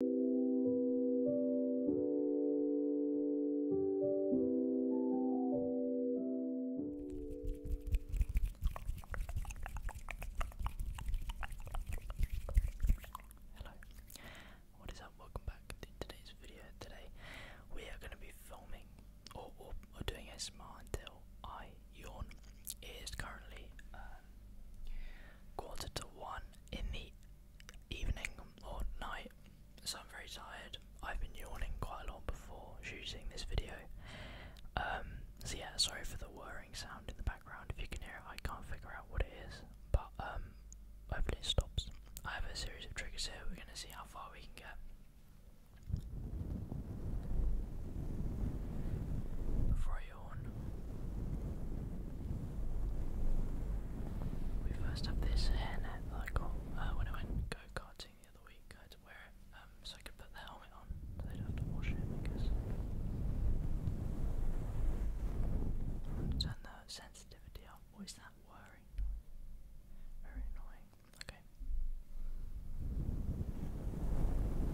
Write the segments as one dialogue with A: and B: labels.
A: Hello, what is up? Welcome back to today's video. Today we are going to be filming or, or, doing a smart until I yawn. It is currently uh, quarter to one in the evening or night. So I'm very tired. I've been yawning quite a lot before shooting this video. Um, so yeah, sorry for the whirring sound in the background. If you can hear it, I can't figure out what it is. But um, hopefully it stops. I have a series of triggers here. We're gonna see how far we can get. Before I we first have this hairnet I got uh, when I went go karting the other week. I had to wear it um, so I could put the helmet on they do have to wash it, I guess. And turn the sensitivity up. What is that whirring Very annoying. Okay.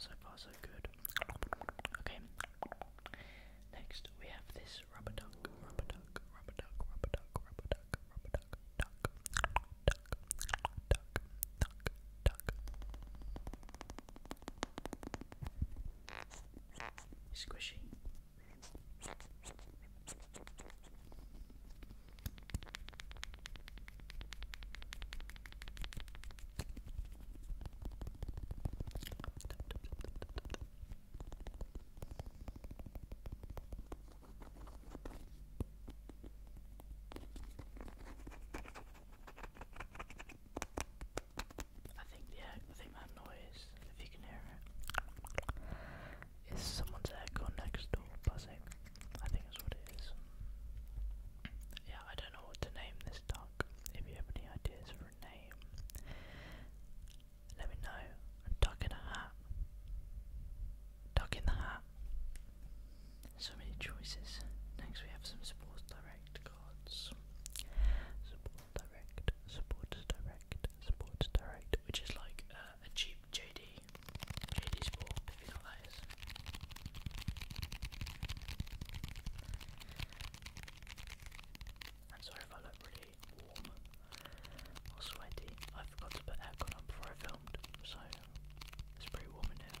A: So far, so good. Okay. Next, we have this rubber duck, Squishy. I think yeah, I think that noise, if you can hear it, is someone's echo next door buzzing. I think that's what it is. Yeah, I don't know what to name this duck. If you have any ideas for a name, let me know. Duck in a hat. Duck in the hat. So many choices. Next, we have some Sports Direct cards. Sports Direct, Sports Direct, Sports Direct, which is like uh, a cheap JD, JD Sport, if you know that is. sorry if I look really warm or sweaty. I forgot to put aircon on before I filmed, so it's pretty warm in here.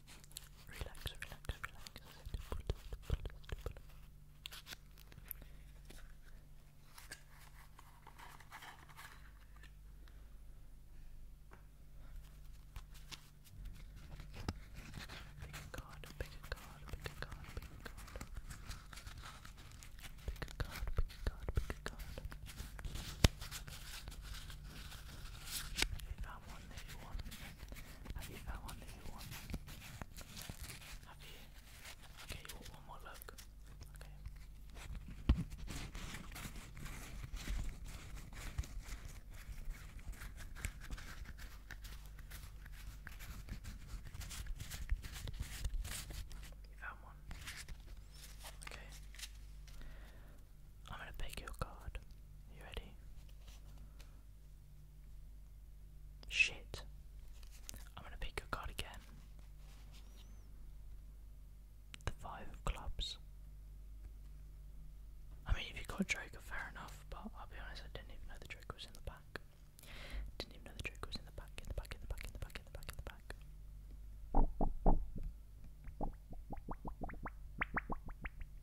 A: Relax, relax, relax. Pick a card, pick a card, pick a card, pick a card. Pick a If I want, if you want, have you found one Have you? Okay, one more look? Okay. You found one. Okay. I'm gonna pick your card. You ready? Shit. I'm gonna pick your card again. The five of clubs. I mean, if you got Joker, fair enough, but I'll be honest, I didn't even know the Joker was in the back. Didn't even know the Joker was in the back, in the back, in the back, in the back, in the back, in the back.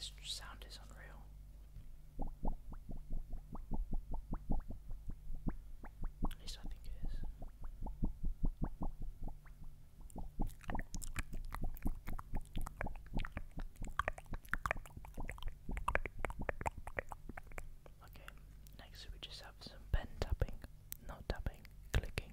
A: This sound is unreal. At I think it is. Okay, next we just have some pen tapping, not tapping, clicking.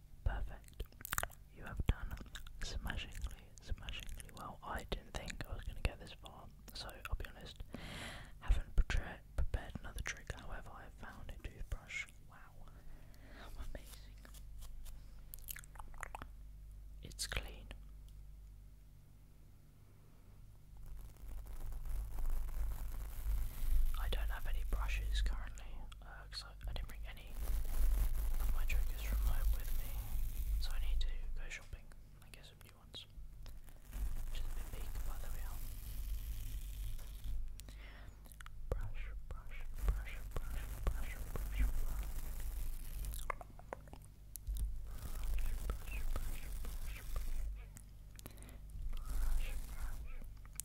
A: Perfect. You have done smashingly, smashingly well. I didn't think I was going to get this far, so I'll be honest. Haven't prepared, prepared another trick, however, I found a toothbrush. Wow. Amazing. It's clean. I don't have any brushes currently. Uh, because I, didn't bring any of my triggers from home with me, so I need to go shopping and get some new ones. Which a big, but there brush, brush, brush, brush, brush, brush, brush, brush, brush, brush, brush, brush, brush, brush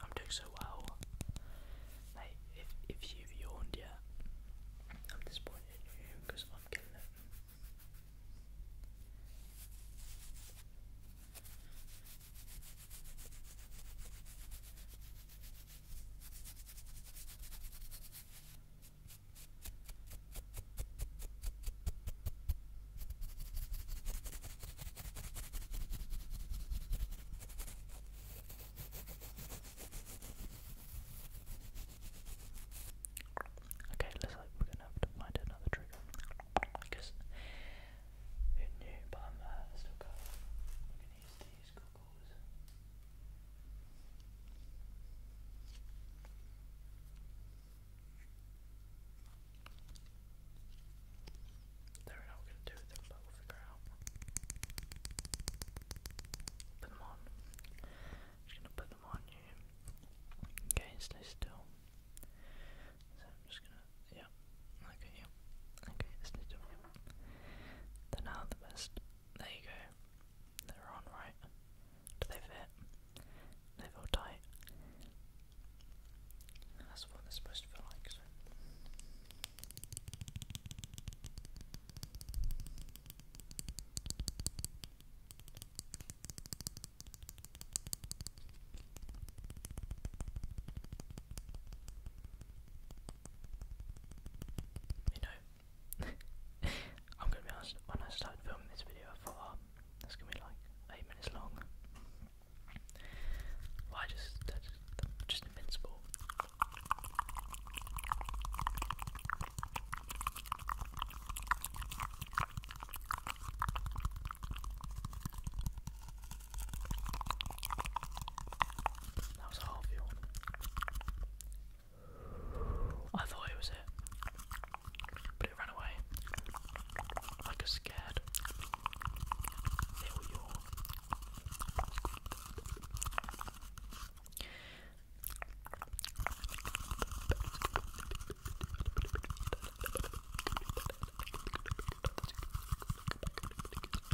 A: I'm doing so well. Like, if, if you yawned yet, I'm disappointed in you because I'm killing it. Okay, looks like we're gonna have to find another trigger. Because who knew, but I'm uh, still going. to use these goggles. They're not going to do it Put them on. Just going to put them on you. Okay, stay still. So I'm just going to, yeah. Okay, yeah. Okay, stay still. They're now the best there you go. They're on, right? Do they fit? They feel tight. That's what they're supposed to feel like. You know, I'm gonna be honest, when I started filming this video, I thought, oh, that's gonna be like eight minutes long. Well, just, just, invincible. That was a hard one. I thought it was it, but it ran away like a scared little yawn.